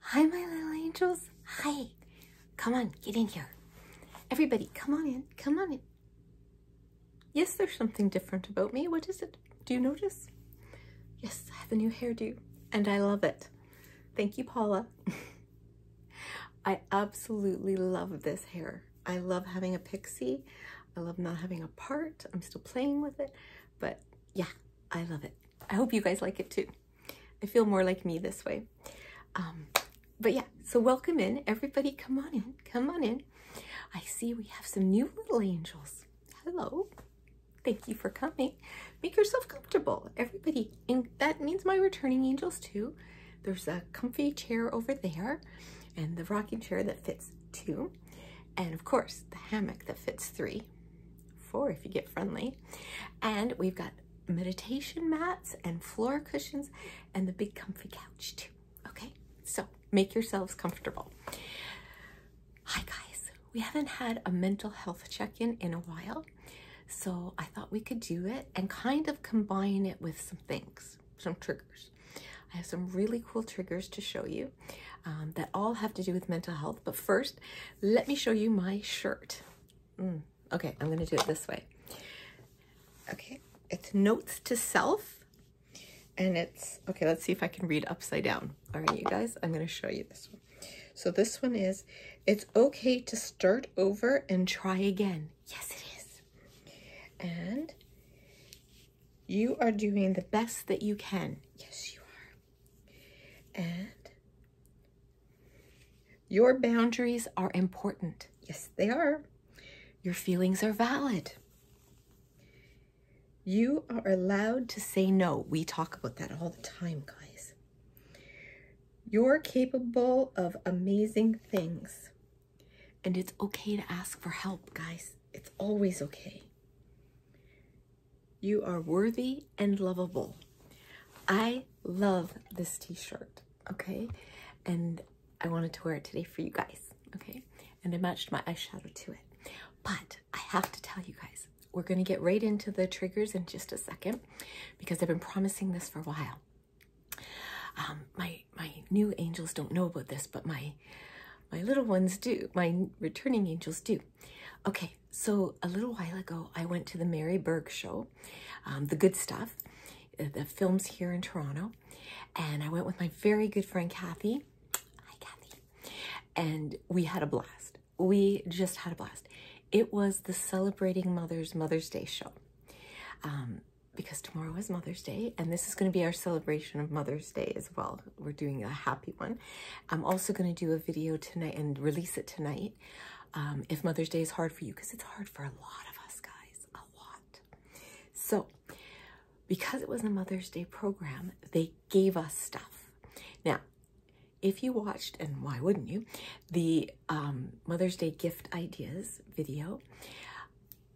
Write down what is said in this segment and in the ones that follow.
Hi, my little angels. Hi. Come on, get in here. Everybody, come on in. Come on in. Yes, there's something different about me. What is it? Do you notice? Yes, I have a new hairdo and I love it. Thank you, Paula. I absolutely love this hair. I love having a pixie. I love not having a part. I'm still playing with it, but yeah, I love it. I hope you guys like it too. I feel more like me this way. Um, but yeah, so welcome in. Everybody come on in, come on in. I see we have some new little angels. Hello. Thank you for coming. Make yourself comfortable, everybody. And that means my returning angels too. There's a comfy chair over there and the rocking chair that fits two. And of course, the hammock that fits three four if you get friendly. And we've got meditation mats and floor cushions and the big comfy couch too. Okay, so make yourselves comfortable. Hi guys, we haven't had a mental health check-in in a while. So I thought we could do it and kind of combine it with some things, some triggers. I have some really cool triggers to show you um, that all have to do with mental health but first, let me show you my shirt. Mm, okay, I'm gonna do it this way. Okay, it's Notes to Self. And it's, okay, let's see if I can read upside down. All right, you guys, I'm gonna show you this one. So this one is, it's okay to start over and try again. Yes, it is. And you are doing the best that you can. Yes, you are. And your boundaries are important. Yes, they are. Your feelings are valid. You are allowed to say no. We talk about that all the time, guys. You're capable of amazing things. And it's okay to ask for help, guys. It's always okay. You are worthy and lovable. I love this t-shirt, okay? And I wanted to wear it today for you guys, okay? And I matched my eyeshadow to it. But I have to tell you guys, we're gonna get right into the triggers in just a second because I've been promising this for a while. Um, my my new angels don't know about this, but my my little ones do. My returning angels do. Okay, so a little while ago, I went to the Mary Berg show, um, The Good Stuff, uh, the films here in Toronto, and I went with my very good friend Kathy. Hi, Kathy. And we had a blast. We just had a blast. It was the Celebrating Mother's Mother's Day show. Um, because tomorrow is Mother's Day, and this is going to be our celebration of Mother's Day well. We're doing a happy one. I'm also going to do a video tonight and release it tonight um, if Mother's Day is hard for you because it's hard for a lot of us guys, a lot. So because it was a Mother's Day program, they gave us stuff. Now, if you watched, and why wouldn't you, the um, Mother's Day gift ideas video,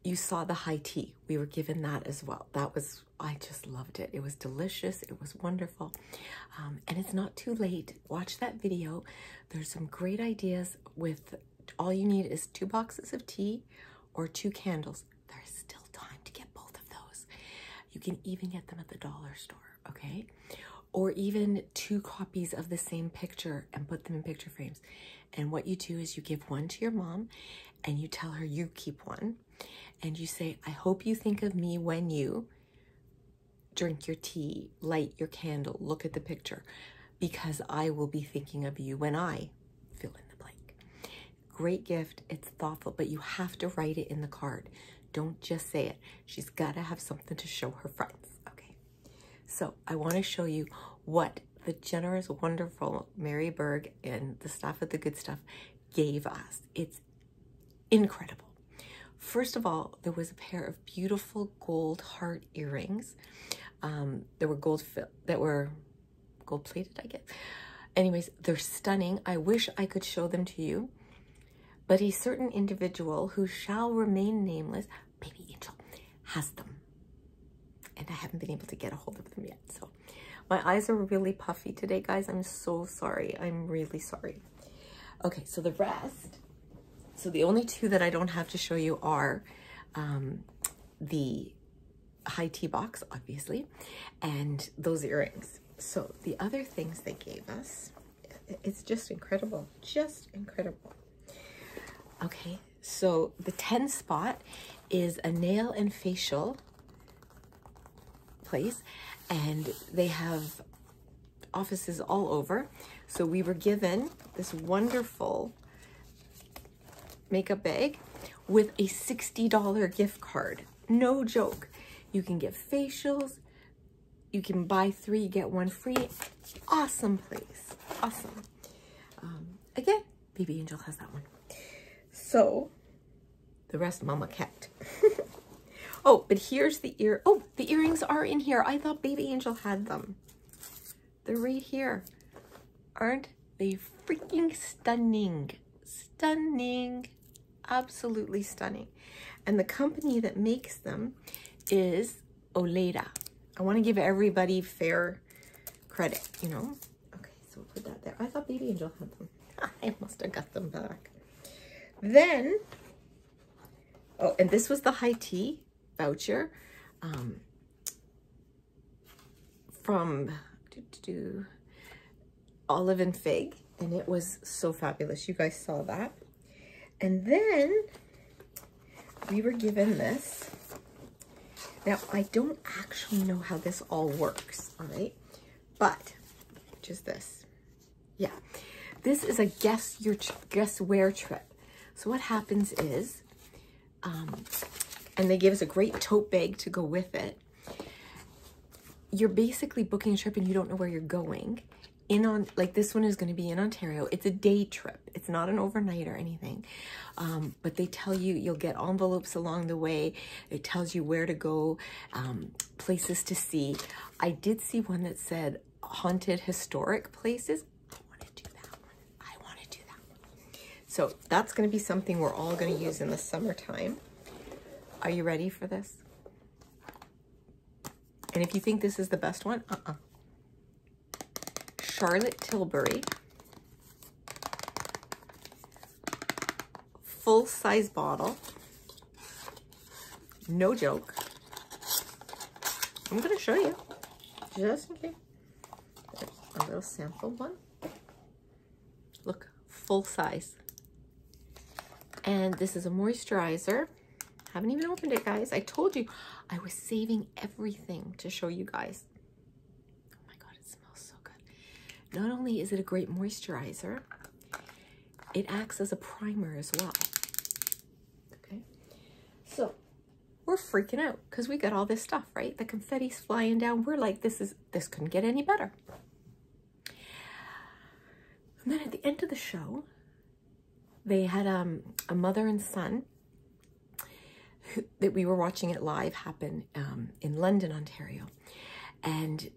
you saw the high tea. We were given that as well. That was I just loved it. It was delicious. It was wonderful. Um, and it's not too late. Watch that video. There's some great ideas with all you need is two boxes of tea or two candles. There's still time to get both of those. You can even get them at the dollar store, okay? Or even two copies of the same picture and put them in picture frames. And what you do is you give one to your mom and you tell her you keep one and you say, I hope you think of me when you drink your tea, light your candle, look at the picture, because I will be thinking of you when I fill in the blank. Great gift. It's thoughtful, but you have to write it in the card. Don't just say it. She's got to have something to show her friends. Okay. So I want to show you what the generous, wonderful Mary Berg and the staff at The Good Stuff gave us. It's incredible. First of all, there was a pair of beautiful gold heart earrings. Um, there were gold that were gold plated, I guess. Anyways, they're stunning. I wish I could show them to you. But a certain individual who shall remain nameless, baby angel, has them. And I haven't been able to get a hold of them yet. So my eyes are really puffy today, guys. I'm so sorry. I'm really sorry. Okay, so the rest. So the only two that I don't have to show you are um, the high tea box, obviously, and those earrings. So the other things they gave us, it's just incredible, just incredible. Okay, so the 10 spot is a nail and facial place and they have offices all over. So we were given this wonderful makeup bag with a $60 gift card. No joke. You can get facials. You can buy three, get one free. Awesome place. Awesome. Um, again, Baby Angel has that one. So the rest mama kept. oh, but here's the ear. Oh, the earrings are in here. I thought Baby Angel had them. They're right here. Aren't they freaking stunning? Stunning. Absolutely stunning. And the company that makes them is Oleda. I want to give everybody fair credit, you know? Okay, so we'll put that there. I thought Baby Angel had them. I must have got them back. Then, oh, and this was the high tea voucher um, from Olive and Fig, and it was so fabulous. You guys saw that. And then we were given this. Now, I don't actually know how this all works, all right? But, which is this. Yeah. This is a guess your guess where trip. So what happens is, um, and they give us a great tote bag to go with it. You're basically booking a trip and you don't know where you're going. In on like this one is going to be in Ontario. It's a day trip. It's not an overnight or anything. Um, but they tell you you'll get envelopes along the way. It tells you where to go. Um, places to see. I did see one that said haunted historic places. I want to do that one. I want to do that one. So that's going to be something we're all going to use in the summertime. Are you ready for this? And if you think this is the best one, uh-uh. Charlotte Tilbury full-size bottle. No joke. I'm going to show you just in case. a little sample one. Look, full size. And this is a moisturizer. Haven't even opened it, guys. I told you I was saving everything to show you guys. Oh my God, it smells so good. Not only is it a great moisturizer, it acts as a primer as well. Okay, so we're freaking out because we got all this stuff, right? The confetti's flying down. We're like, this is this couldn't get any better. And then at the end of the show, they had um, a mother and son that we were watching it live happen um, in London, Ontario. And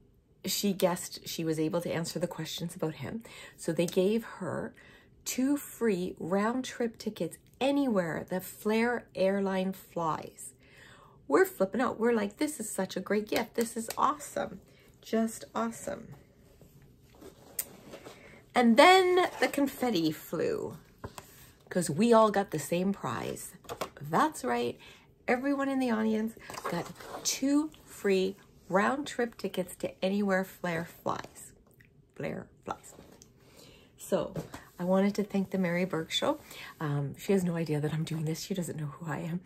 she guessed she was able to answer the questions about him. So they gave her two free round trip tickets anywhere the Flair airline flies. We're flipping out. We're like, this is such a great gift. This is awesome. Just awesome. And then the confetti flew because we all got the same prize. That's right everyone in the audience got two free round trip tickets to anywhere Flair flies. Flair flies. So I wanted to thank the Mary Burke Show. Um, she has no idea that I'm doing this. She doesn't know who I am.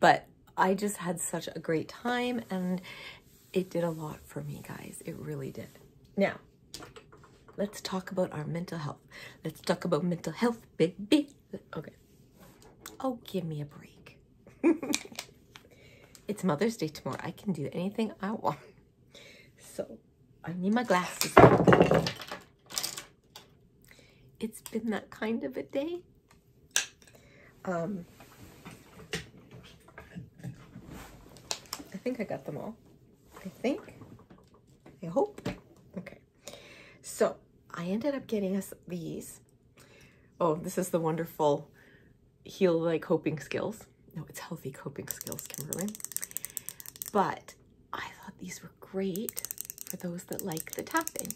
But I just had such a great time and it did a lot for me, guys. It really did. Now, let's talk about our mental health. Let's talk about mental health, baby. Okay. Oh, give me a break. it's Mother's Day tomorrow. I can do anything I want. So, I need my glasses. It's been that kind of a day. Um, I think I got them all. I think. I hope. Okay. So I ended up getting us these. Oh, this is the wonderful heal like coping skills. No, it's healthy coping skills, Kimberly. But I thought these were great for those that like the tapping.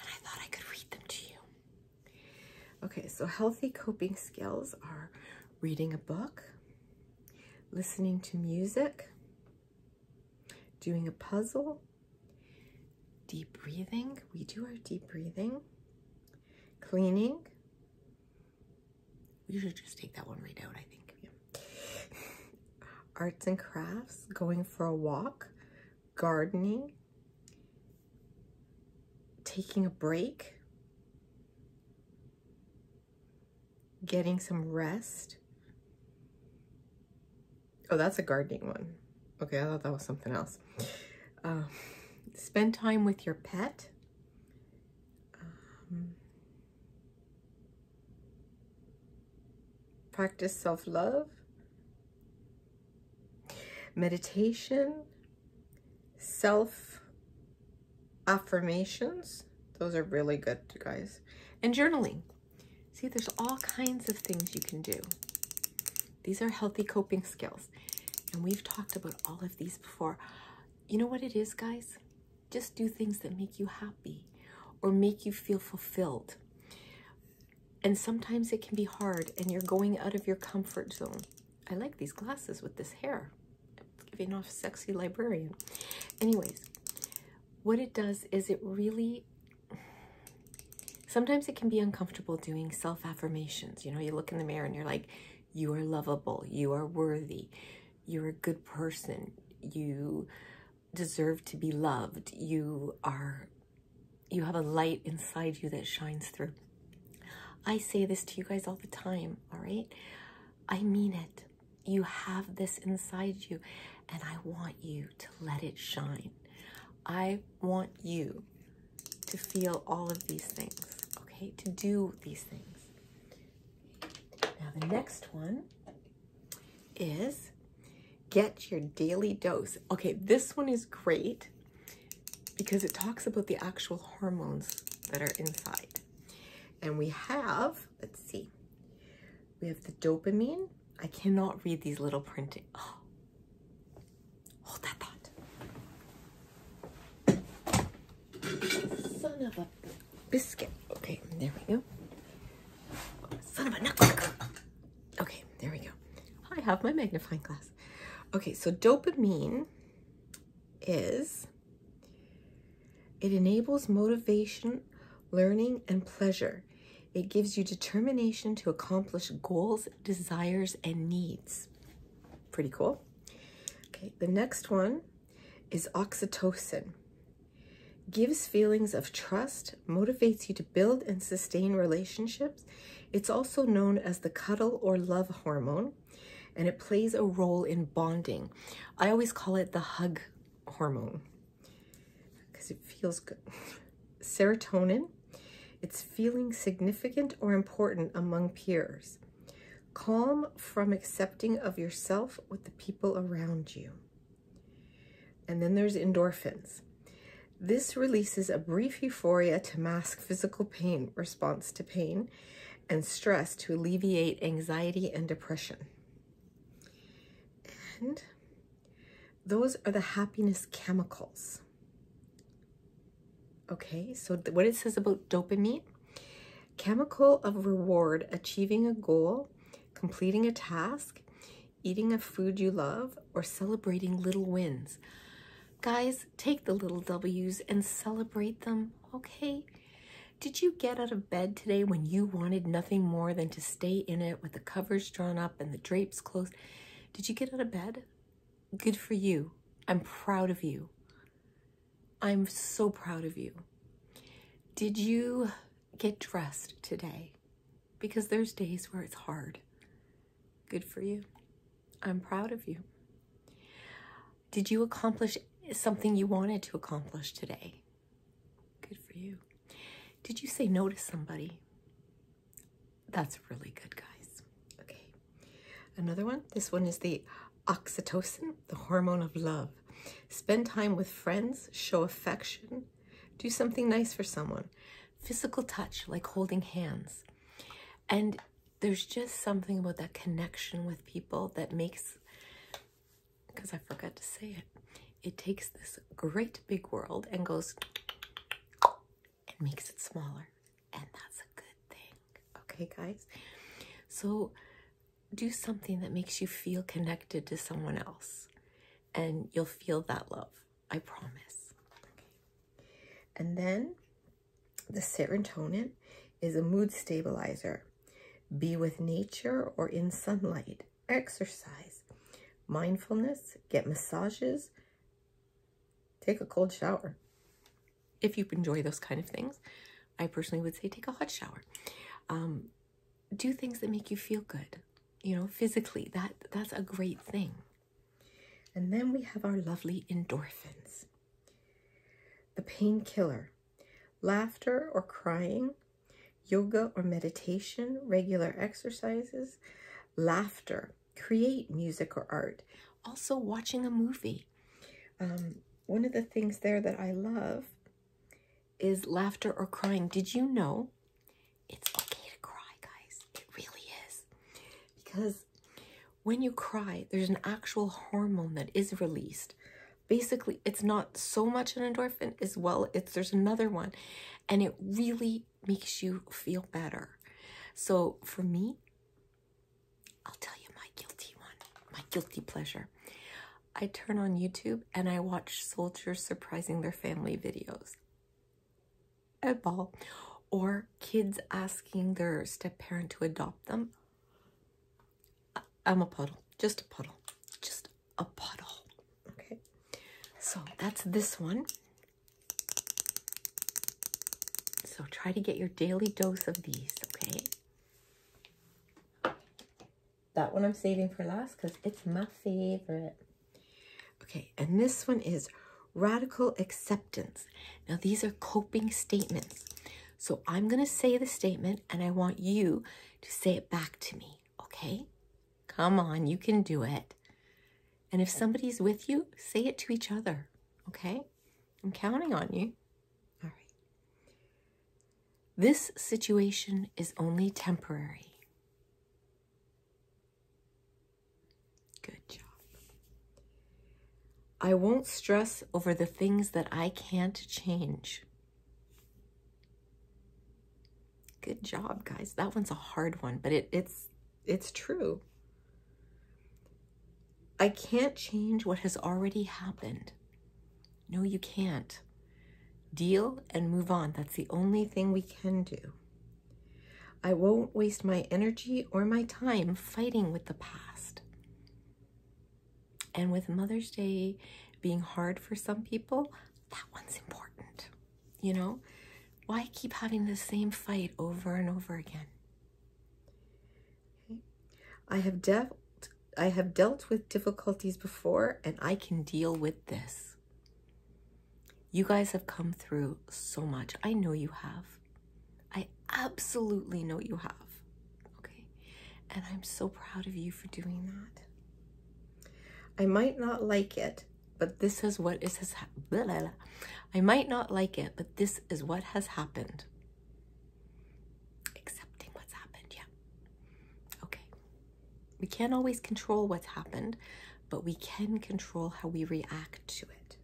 And I thought I could read them to you. Okay, so healthy coping skills are reading a book, listening to music, doing a puzzle, deep breathing. We do our deep breathing, cleaning. We should just take that one right out, I think. Arts and crafts, going for a walk, gardening, taking a break, getting some rest. Oh, that's a gardening one. Okay, I thought that was something else. Uh, spend time with your pet. Um, practice self-love. Meditation, self affirmations. Those are really good, guys. And journaling. See, there's all kinds of things you can do. These are healthy coping skills. And we've talked about all of these before. You know what it is, guys? Just do things that make you happy or make you feel fulfilled. And sometimes it can be hard and you're going out of your comfort zone. I like these glasses with this hair. giving off sexy librarian. Anyways, what it does is it really sometimes it can be uncomfortable doing self-affirmations. You know, you look in the mirror and you're like, you are lovable, you are worthy, you're a good person, you deserve to be loved, you are you have a light inside you that shines through. I say this to you guys all the time, all right? I mean it. You have this inside you, and I want you to let it shine. I want you to feel all of these things, okay? To do these things. Now, the next one is get your daily dose. Okay, this one is great because it talks about the actual hormones that are inside. And we have, let's see, we have the dopamine. I cannot read these little printing. Oh, hold that thought. Son of a biscuit. Okay, there we go. Son of a nut. Okay, there we go. I have my magnifying glass. Okay, so dopamine is it enables motivation, learning, and pleasure. It gives you determination to accomplish goals, desires, and needs. Pretty cool. Okay, the next one is oxytocin. Gives feelings of trust, motivates you to build and sustain relationships. It's also known as the cuddle or love hormone and it plays a role in bonding. I always call it the hug hormone because it feels good. Serotonin, it's feeling significant or important among peers. Calm from accepting of yourself with the people around you. And then there's endorphins. This releases a brief euphoria to mask physical pain, response to pain, and stress to alleviate anxiety and depression. And those are the happiness chemicals. Okay, so what it says about dopamine, chemical of reward, achieving a goal, completing a task, eating a food you love, or celebrating little wins. Guys, take the little W's and celebrate them, okay? Did you get out of bed today when you wanted nothing more than to stay in it with the covers drawn up and the drapes closed? Did you get out of bed? Good for you. I'm proud of you. I'm so proud of you. Did you get dressed today? Because there's days where it's hard. Good for you. I'm proud of you. Did you accomplish something you wanted to accomplish today? Good for you. Did you say no to somebody? That's really good, guys. Okay. Another one. This one is the oxytocin, the hormone of love. Spend time with friends, show affection, do something nice for someone. Physical touch, like holding hands. And there's just something about that connection with people that makes because I forgot to say it. It takes this great big world and goes and makes it smaller. And that's a good thing. Okay, guys? So do something that makes you feel connected to someone else and you'll feel that love. I promise. Okay. And then the serotonin is a mood stabilizer. Be with nature or in sunlight. Exercise, mindfulness, get massages, take a cold shower. If you enjoy those kind of things, I personally would say take a hot shower. Um, do things that make you feel good, you know, physically. That That's a great thing. And then we have our lovely endorphins. The painkiller, laughter or crying, yoga or meditation, regular exercises, laughter, create music or art, also watching a movie. Um, one of the things there that I love is laughter or crying. Did you know it's okay to cry, guys? It really is. Because when you cry, there's an actual hormone that is released. Basically, it's not so much an endorphin as well, it's there's another one, and it really makes you feel better. So for me, I'll tell you my guilty one, my guilty pleasure. I turn on YouTube and I watch soldiers surprising their family videos a ball or kids asking their step parent to adopt them. I'm a puddle, just a puddle, just a puddle. Okay, so that's this one. So try to get your daily dose of these, okay? That one I'm saving for last because it's my favorite. Okay, and this one is Radical acceptance. Now, these are coping statements. So I'm going to say the statement and I want you to say it back to me, okay? Come on, you can do it. And if somebody's with you, say it to each other, okay? I'm counting on you. All right. This situation is only temporary. Good job. I won't stress over the things that I can't change. Good job, guys. That one's a hard one, but it, it's it's true. I can't change what has already happened. No, you can't. Deal and move on. That's the only thing we can do. I won't waste my energy or my time fighting with the past. And with Mother's Day being hard for some people, that one's important. You know, why keep having the same fight over and over again? I have dealt I have dealt with difficulties before and I can deal with this. You guys have come through so much. I know you have. I absolutely know you have. Okay. And I'm so proud of you for doing that. I might not like it, but this is what is has I might not like it, but this is what has happened. Accepting what's happened, yeah. Okay. We can't always control what's happened, but we can control how we react to it.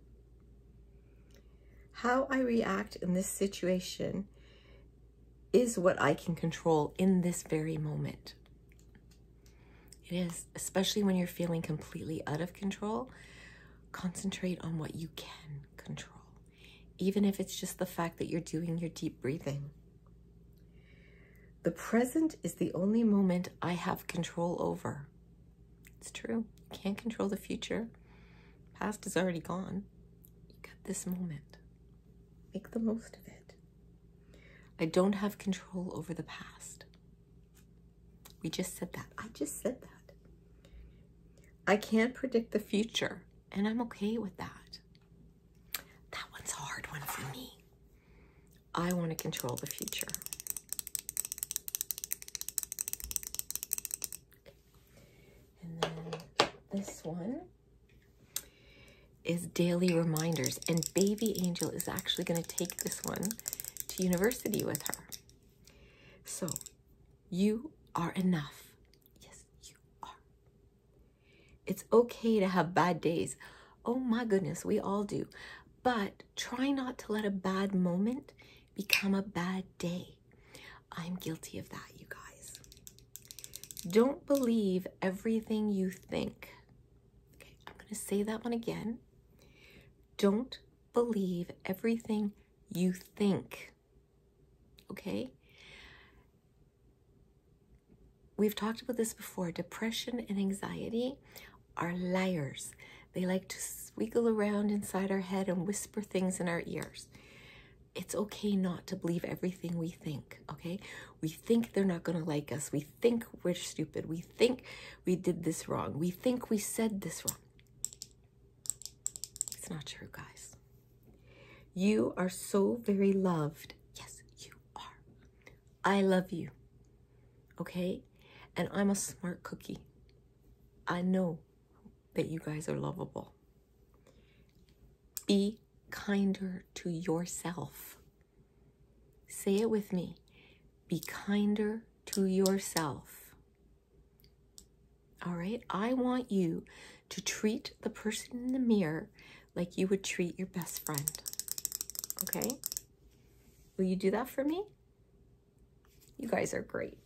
How I react in this situation is what I can control in this very moment. It is, especially when you're feeling completely out of control. Concentrate on what you can control, even if it's just the fact that you're doing your deep breathing. The present is the only moment I have control over. It's true. You can't control the future. Past is already gone. You got this moment. Make the most of it. I don't have control over the past. We just said that. I just said that. I can't predict the future, and I'm okay with that. That one's a hard one for me. I want to control the future. And then this one is Daily Reminders. And Baby Angel is actually going to take this one to university with her. So, you are enough. Yes, you are. It's okay to have bad days. Oh my goodness, we all do. But try not to let a bad moment become a bad day. I'm guilty of that, you guys. Don't believe everything you think. Okay, I'm going to say that one again. Don't believe everything you think. Okay? We've talked about this before. Depression and anxiety are liars. They like to wiggle around inside our head and whisper things in our ears. It's okay not to believe everything we think, okay? We think they're not gonna like us. We think we're stupid. We think we did this wrong. We think we said this wrong. It's not true, guys. You are so very loved. Yes, you are. I love you, okay? And I'm a smart cookie. I know that you guys are lovable. Be kinder to yourself. Say it with me. Be kinder to yourself. All right? I want you to treat the person in the mirror like you would treat your best friend. Okay? Will you do that for me? You guys are great.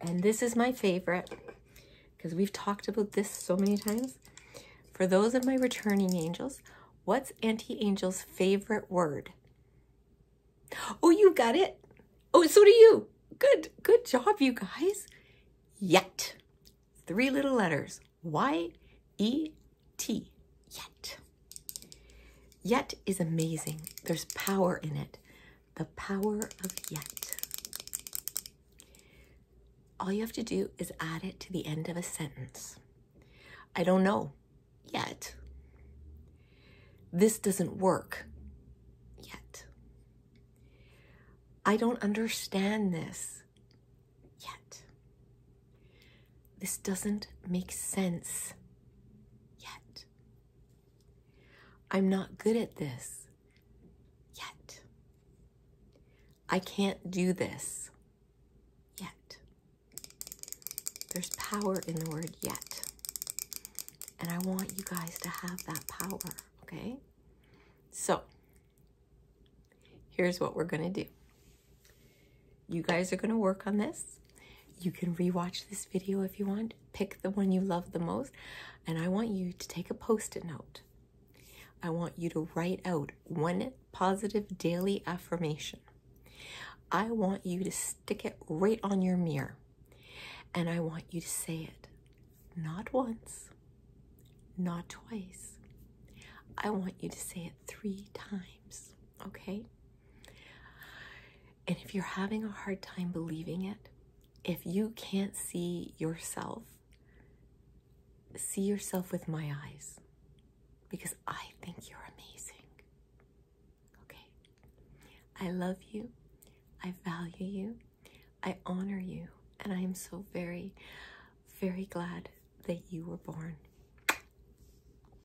And this is my favorite because we've talked about this so many times. For those of my returning angels, what's Anti Angel's favorite word? Oh, you got it. Oh, so do you. Good, good job, you guys. Yet. Three little letters. Y-E-T. Yet. Yet is amazing. There's power in it. The power of yet. All you have to do is add it to the end of a sentence. I don't know yet. This doesn't work yet. I don't understand this yet. This doesn't make sense yet. I'm not good at this yet. I can't do this yet. There's power in the word yet. And I want you guys to have that power, okay? So, here's what we're going to do. You guys are going to work on this. You can rewatch this video if you want. Pick the one you love the most. And I want you to take a post it note. I want you to write out one positive daily affirmation. I want you to stick it right on your mirror. And I want you to say it not once, not twice. I want you to say it three times okay? And if you're having a hard time believing it, if you can't see yourself, see yourself with my eyes because I think you're amazing. Okay? I love you. I value you. I honor you. And I am so very, very glad that you were born.